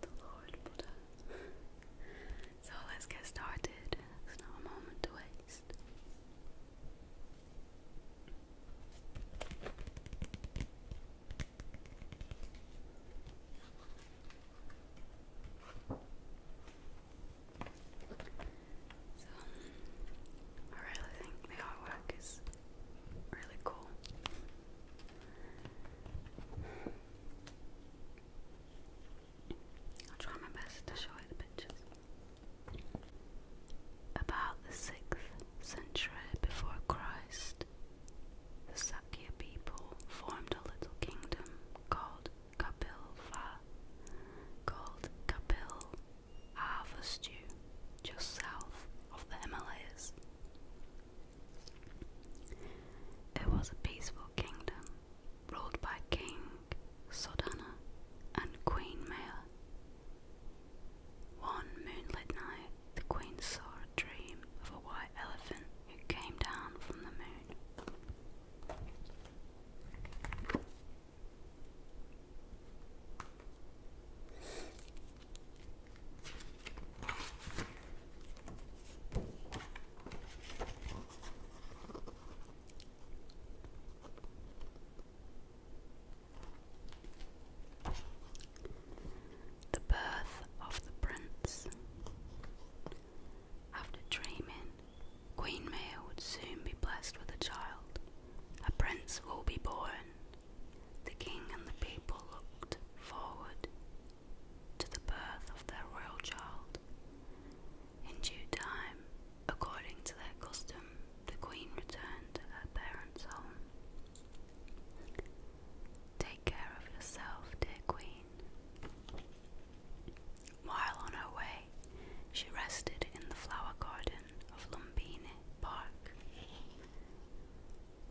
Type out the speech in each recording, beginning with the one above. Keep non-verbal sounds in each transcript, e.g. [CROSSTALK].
The Lord Buddha. so let's get started. It's not a moment to waste. So I really think the artwork is really cool. I'll try my best to show you the pictures. About the 6th century before Christ, the Sakya people formed a little kingdom called Kapilva, called Kapil Arthur's Stew, just south of the Himalayas. It was a peaceful kingdom ruled by King Sodana and Queen Maya. One moonlit night, the queen saw a dream of a white elephant who came down from the moon. The birth of the prince. After dreaming, Queen Maya would soon be blessed with a child. A prince will be born, the king and the people looked forward to the birth of their royal child. In due time, according to their custom, the queen returned to her parents' home. Take care of yourself, dear queen. While on her way, she rested in the flower garden of Lumbini Park.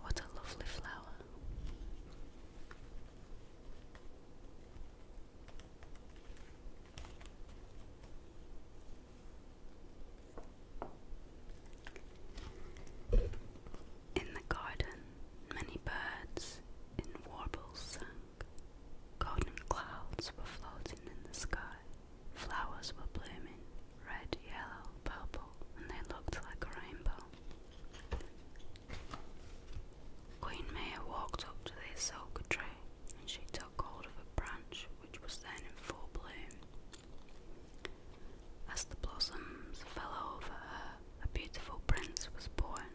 What a lovely flower. In the garden, many birds in warbles sang. Golden clouds were floating in the sky. Flowers were blooming, red, yellow, purple, and they looked like a rainbow. Queen Maya walked up to the Ahsoka tree and she took hold of a branch which was then in full bloom. As the blossoms fell over her, a beautiful prince was born.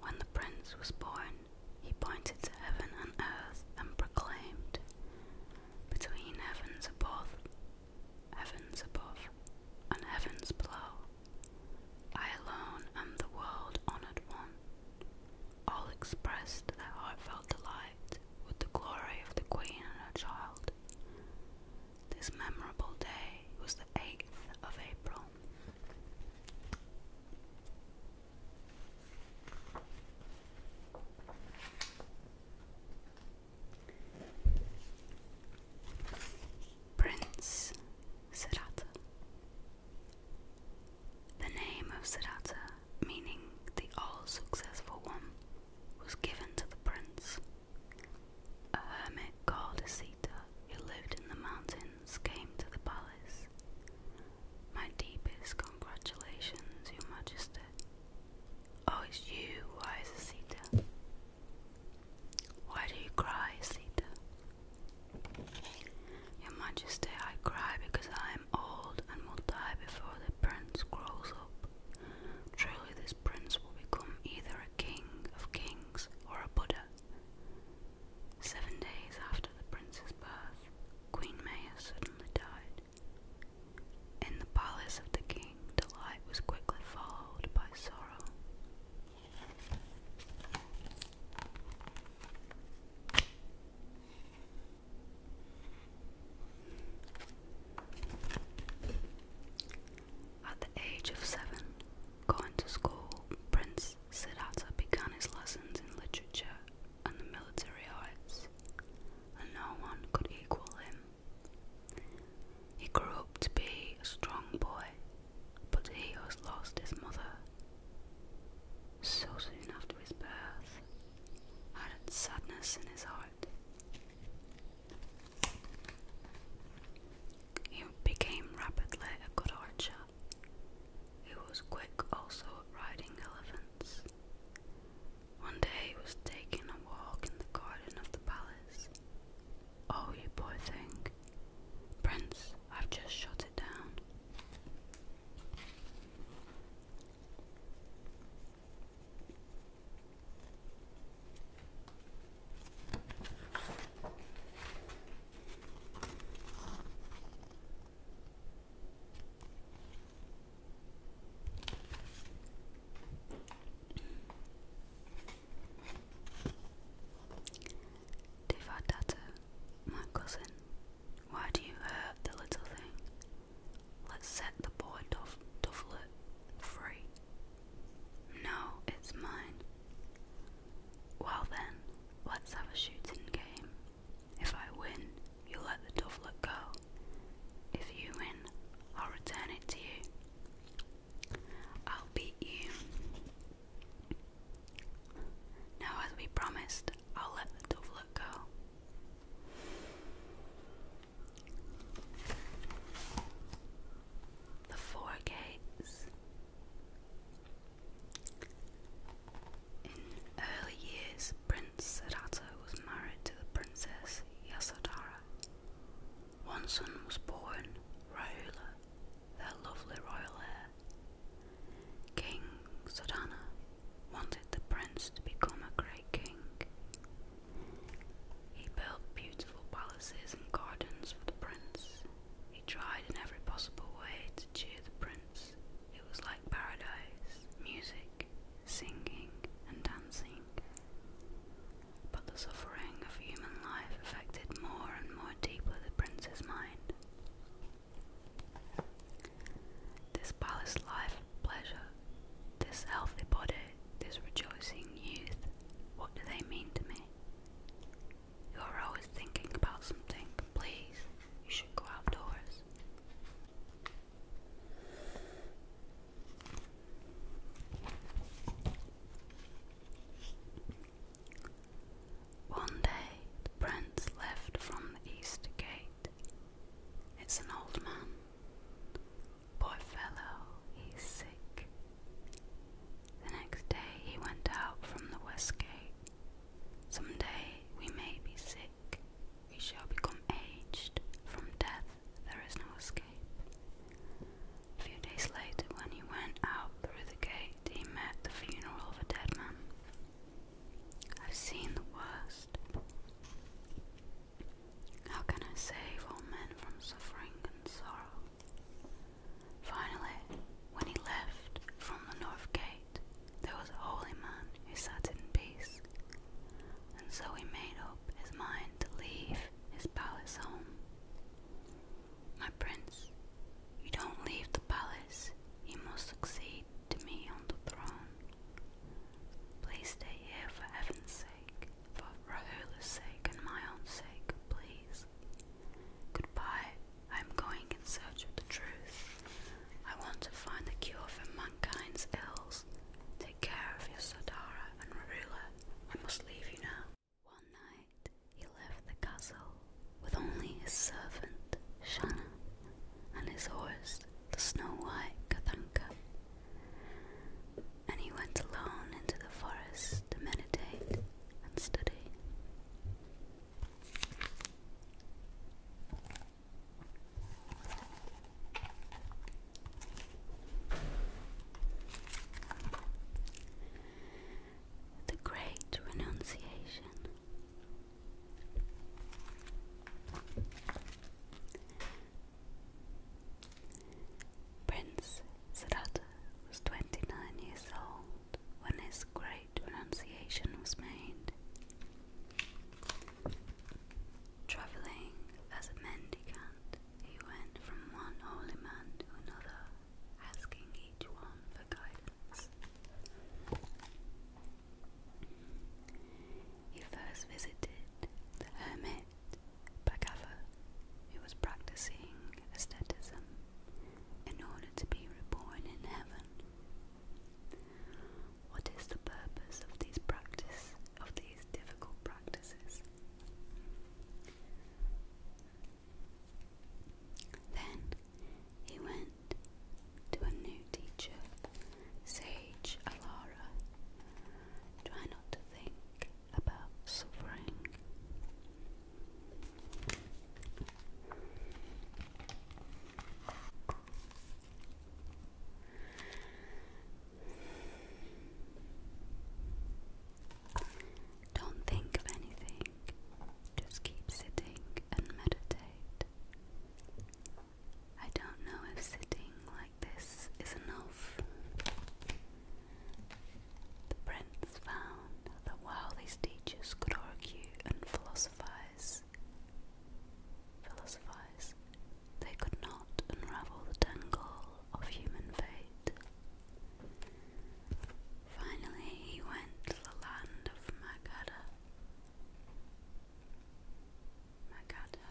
When the prince was born, he pointed to heaven and earth and proclaimed, Between heavens above, heavens above, and heavens below, I alone am the world honoured one. All expressed their heartfelt delight with the glory of the Queen and her child. This memorable day was the 8th of April. Prince Siddhartha. The name of Siddhartha, meaning the all successful one, was given to the prince. A hermit called Asita, who lived in the mountains, came to the palace my deepest congratulations, Your Majesty. Oh, it's you, wise Sita. Why do you cry, Sita? Your Majesty, I cry because I am old and will die before the prince grows up. Truly, this prince will become either a king of kings or a Buddha. Seven days after the prince's birth, Queen Maya suddenly died. and the palace of the king, delight was quickly followed by sorrow. At the age of seven, going to school, Prince Siddhartha began his lessons in literature and the military arts, and no one could equal him. He grew up to be a strong boy, but he has lost his mother. So soon after his birth, added sadness in his heart. He became rapidly a good archer. He was quick also at riding elephants, one day he was taking a walk in the garden of the palace. Oh, you boy! thing. Prince, I've just shut it down. Devadatta, my cousin, why do you hurt the little thing? Let's set the poor dove free. No, it's mine. Well then, let's have a shooting game. If I win, you let the dovelet go. If you win, I'll return it to you. I'll beat you. Now, as we promised, I'll let the dovelet go. The Four Gates. In early years, Prince Sadato was married to the Princess Yasodhara. One son was born, Rahula, their lovely royal heir. King Sodana wanted the prince to become a great king. He built beautiful palaces and gardens for the prince. He tried in every possible way to cheer the prince. It was like paradise, music, singing, and dancing. But the suffering of human life affected more and more deeply the prince's mind. This palace life pleasure, this healthy body, this rejoicing youth, what do they mean to me? You are always thinking about something. Please, you should go outdoors. One day the prince left from the east gate. It's an old man. Poor fellow, he's sick. The next day he went out from the west gate. Some day we may be sick sick, we shall become aged. From death there is no escape. A few days later, when he went out through the gate, he met the funeral of a dead man. I've seen the worst. How can I save all men from suffering and sorrow? Finally, when he left from the north gate, there was a holy man who sat in peace, and so he made up his mind to leave his palace home. My prince, you don't leave the palace, you must succeed to me on the throne. Please stay here for heaven's sake, for Rahula's sake and my own sake, please. Goodbye. I am going in search of the truth. I want to find the cure for man mankind's ills. Take care of your Sodara and Marula. I must leave you now. One night he left the castle with only his servant, Shanna, and his horse, the snow white Kathanka. And he went alone into the forest to meditate and study. The Great Renunciation. Prince Siddhartha was 29 years old when his great renunciation was made. Travelling as a mendicant, he went from one holy man to another, asking each one for guidance. He first visited the hermit Bhagava, who was practicing asceticism in order to be reborn in heaven what is the purpose of these practice of these difficult practices? Then he went to a new teacher, Sage Alara. Try not to think about suffering. Don't think of anything, just keep sitting and meditate. I don't know if sitting like this is enough. The prince found that while these teachers could argue and philosophize, Philosophize. They could not unravel the tangle of human fate. Finally, he went to the land of Magadha. Magadha,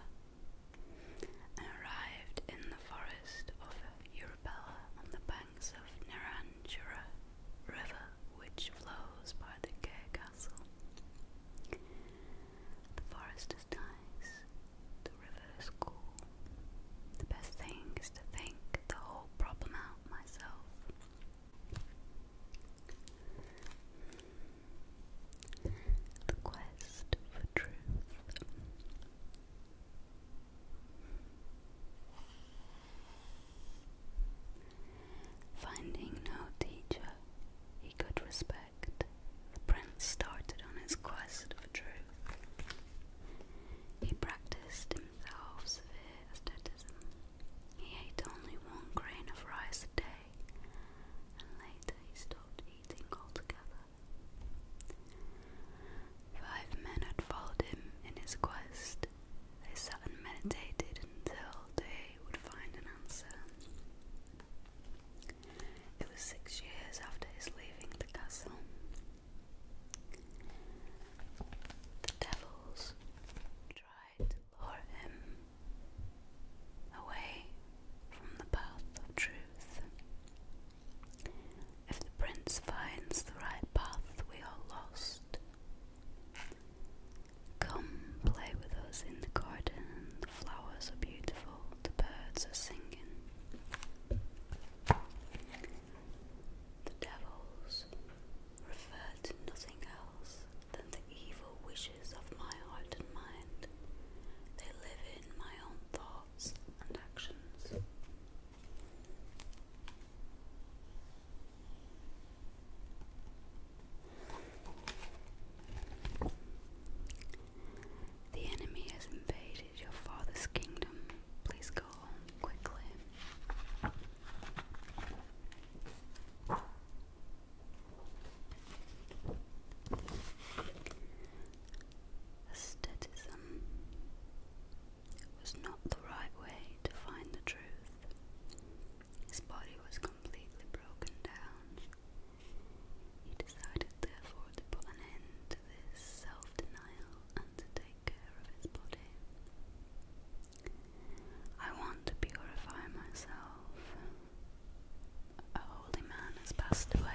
and arrived in the forest of Urubela on the banks of Niranjura River, which flows by the Gay Castle. The forest is nice, the river is cool. The best thing is to think the whole problem out myself. The quest for truth. Finding no teacher he could respect, the prince started on his quest for truth. He practiced himself severe asceticism. He ate only one grain of rice a day, and later he stopped eating altogether. Five men had followed him in his quest. They sat and meditated until they would find an answer. It was six years after his leaving the castle. The devils tried to lure him away from the path of truth. If the prince finds the right path we are lost, Come play with us in the garden, the flowers are beautiful, the birds are singing. The devils refer to nothing else than the evil wishes of my heart and mind. They live in my own thoughts and actions. The enemy has invaded your father's kingdom. Please go home quickly. Aestheticism was not the right way to find the truth. His body was completely broken down he decided to put an end to this self-denial and to take care of his body. I want to purify myself. A holy man has passed away.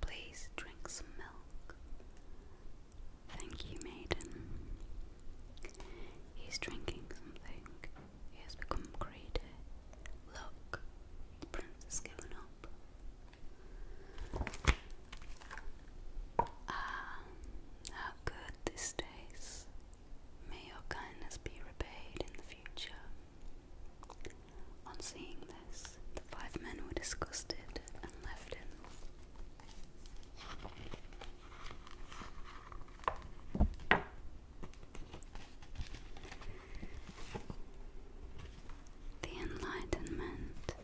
Please drink some milk. Thank you, maiden. He's drinking something. He has become greedy. Look, the prince has given up. Ah, how good this tastes. May your kindness be repaid in the future. On seeing this, the five men were disgusted and left him. The Enlightenment.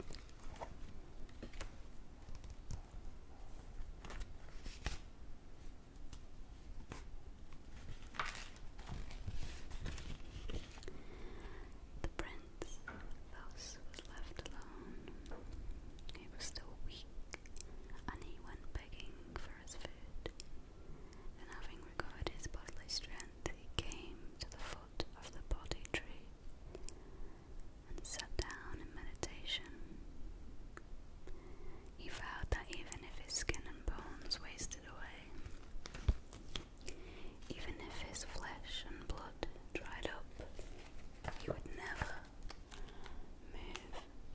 The prince thus was left alone. He was still weak, and he went begging for his food. Then, having recovered his bodily strength, he came to the foot of the Bodhi tree and sat down in meditation. He vowed that even if his skin and bones wasted away, even if his flesh and blood dried up, he would never move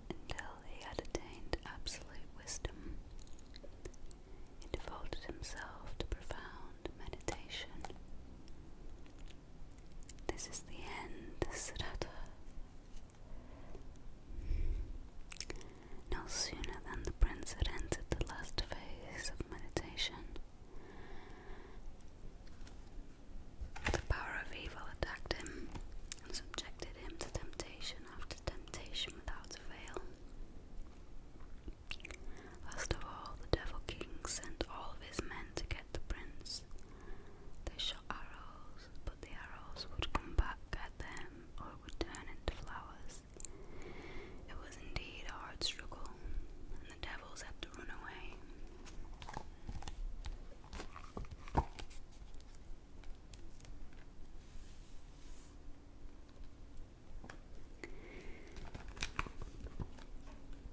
until he had attained absolute wisdom. He devoted himself to profound meditation. This is the end, Siddhartha. No sooner than the prince had entered the last phase of meditation, the power of evil attacked him and subjected him to temptation after temptation without fail. Last of all, the Devil King sent all his men to get the prince. They shot arrows, but the arrows would come back at them or would turn into flowers. It was indeed a hard struggle, and the devils had to run away.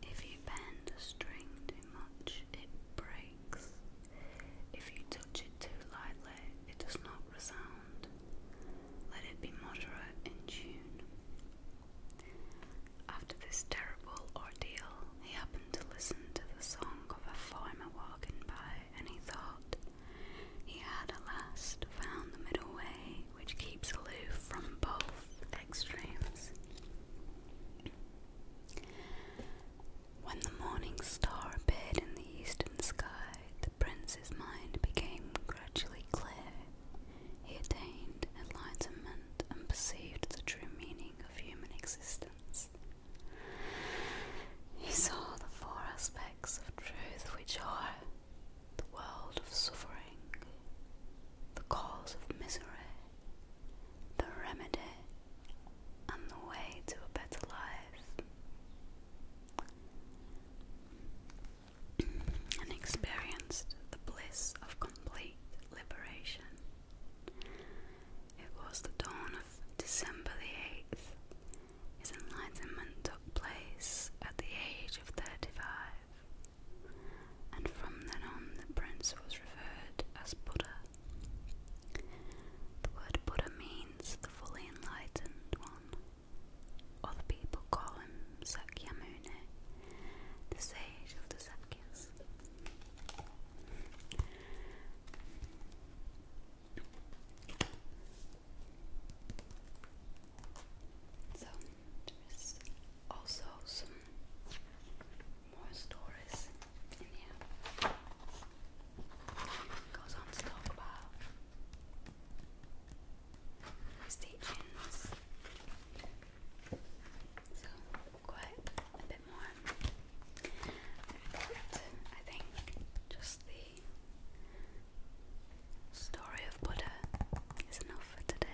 If you bend a string too much, it breaks. If you touch it too lightly, it does not resound. Let it be moderate in tune. After this terrible ordeal, he happened to listen to the song of a farmer walking by, and he thought he had at last found the middle way which keeps aloof from both extremes. When the morning star appeared in the eastern sky, the prince's mind became gradually clear. He attained enlightenment and perceived the true meaning of human existence. He saw the four aspects of truth, which are the world of suffering, the cause of misery, the remedy on the way to a better life [CLEARS THROAT] and experienced the bliss of complete liberation. It was the dawn of December the 8th. His enlightenment took place at the age of 35, and from then on the prince was referred as Buddha. The word Buddha means the fully enlightened one. Other people call him Sakyamuni, the sage of the Sakyas. So, there's also some more stories in here. So, quite a bit more. I think just the story of Buddha is enough for today.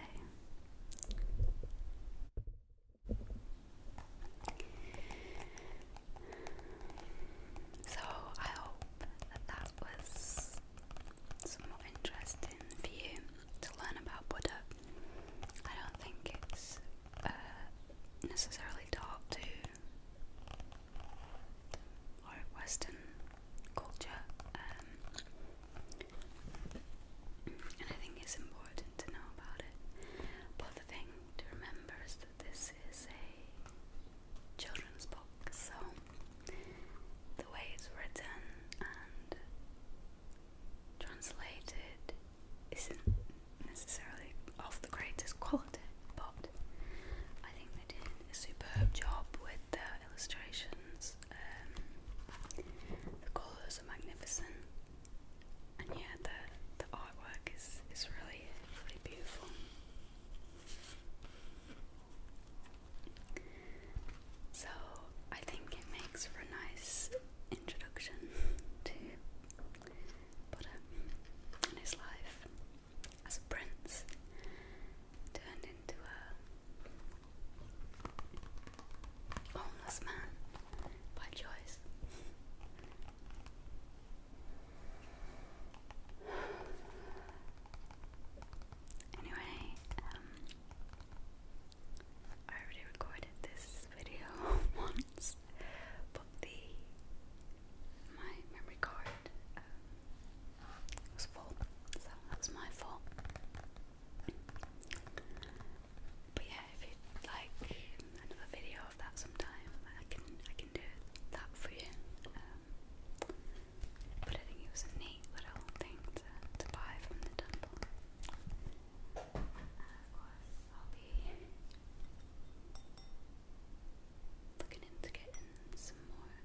So I hope that that was somewhat interesting for you to learn about Buddha. I don't think it's uh, necessarily taught to or Western culture, um, and I think it's important to know about it. But the thing to remember is that this is a children's book, so the way it's written and translated isn't necessarily of the greatest quality, but I think they did a superb job with the illustrations. Um, the colours are magnificent, and yeah, the the artwork is is really really beautiful. So I think it makes for a nice introduction to Buddha and his life as a prince turned into a homeless man by choice. Anyway, um, I already recorded this video [LAUGHS] once, but the my memory card um, was full, so that was my fault. But yeah, if you like another video that sometime. I can I can do that for you. Um, but I think it was a neat little thing to, to buy from the temple. of course, I'll be looking into getting some more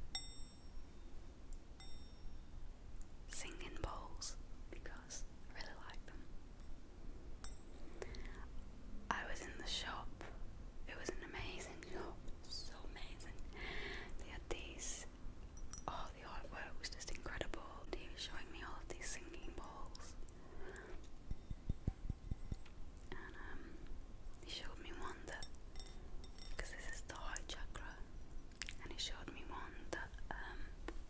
singing bowls because I really like them. I was in the shop. It was an amazing so amazing. They had these, oh, the artwork was just incredible. He was showing me all of these singing bowls. And um, he showed me one that, because this is the heart chakra, and he showed me one that um,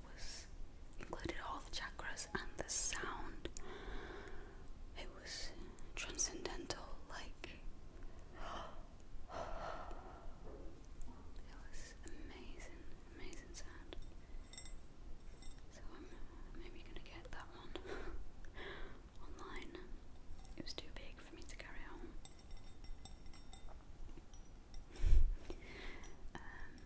was included all the chakras and the sound. It was transcendental, like [GASPS] it was amazing, amazing sound. So I'm um, maybe gonna get that one [LAUGHS] online. It was too big for me to carry home. [LAUGHS] Um,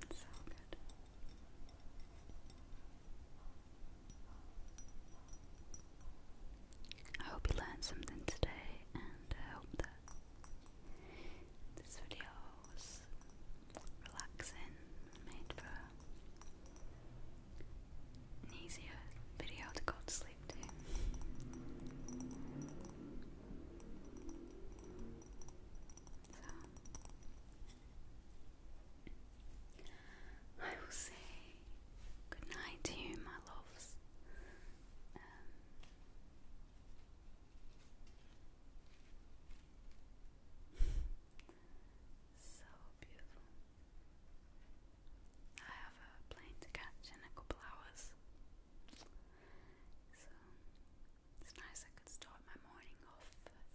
yeah. So good. I hope you learned something today, and I hope that this video was relaxing, made for an easier video to go to sleep to. So, I will say good night to you, my loves. Um, [LAUGHS] so beautiful. I have a plane to catch in a couple hours. So it's nice I could start my morning off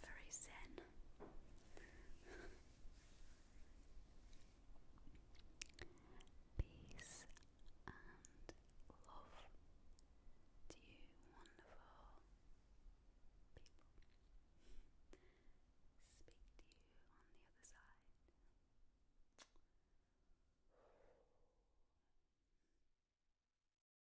very zen. [LAUGHS] Peace and love to you, wonderful people. Speak to you on the other side.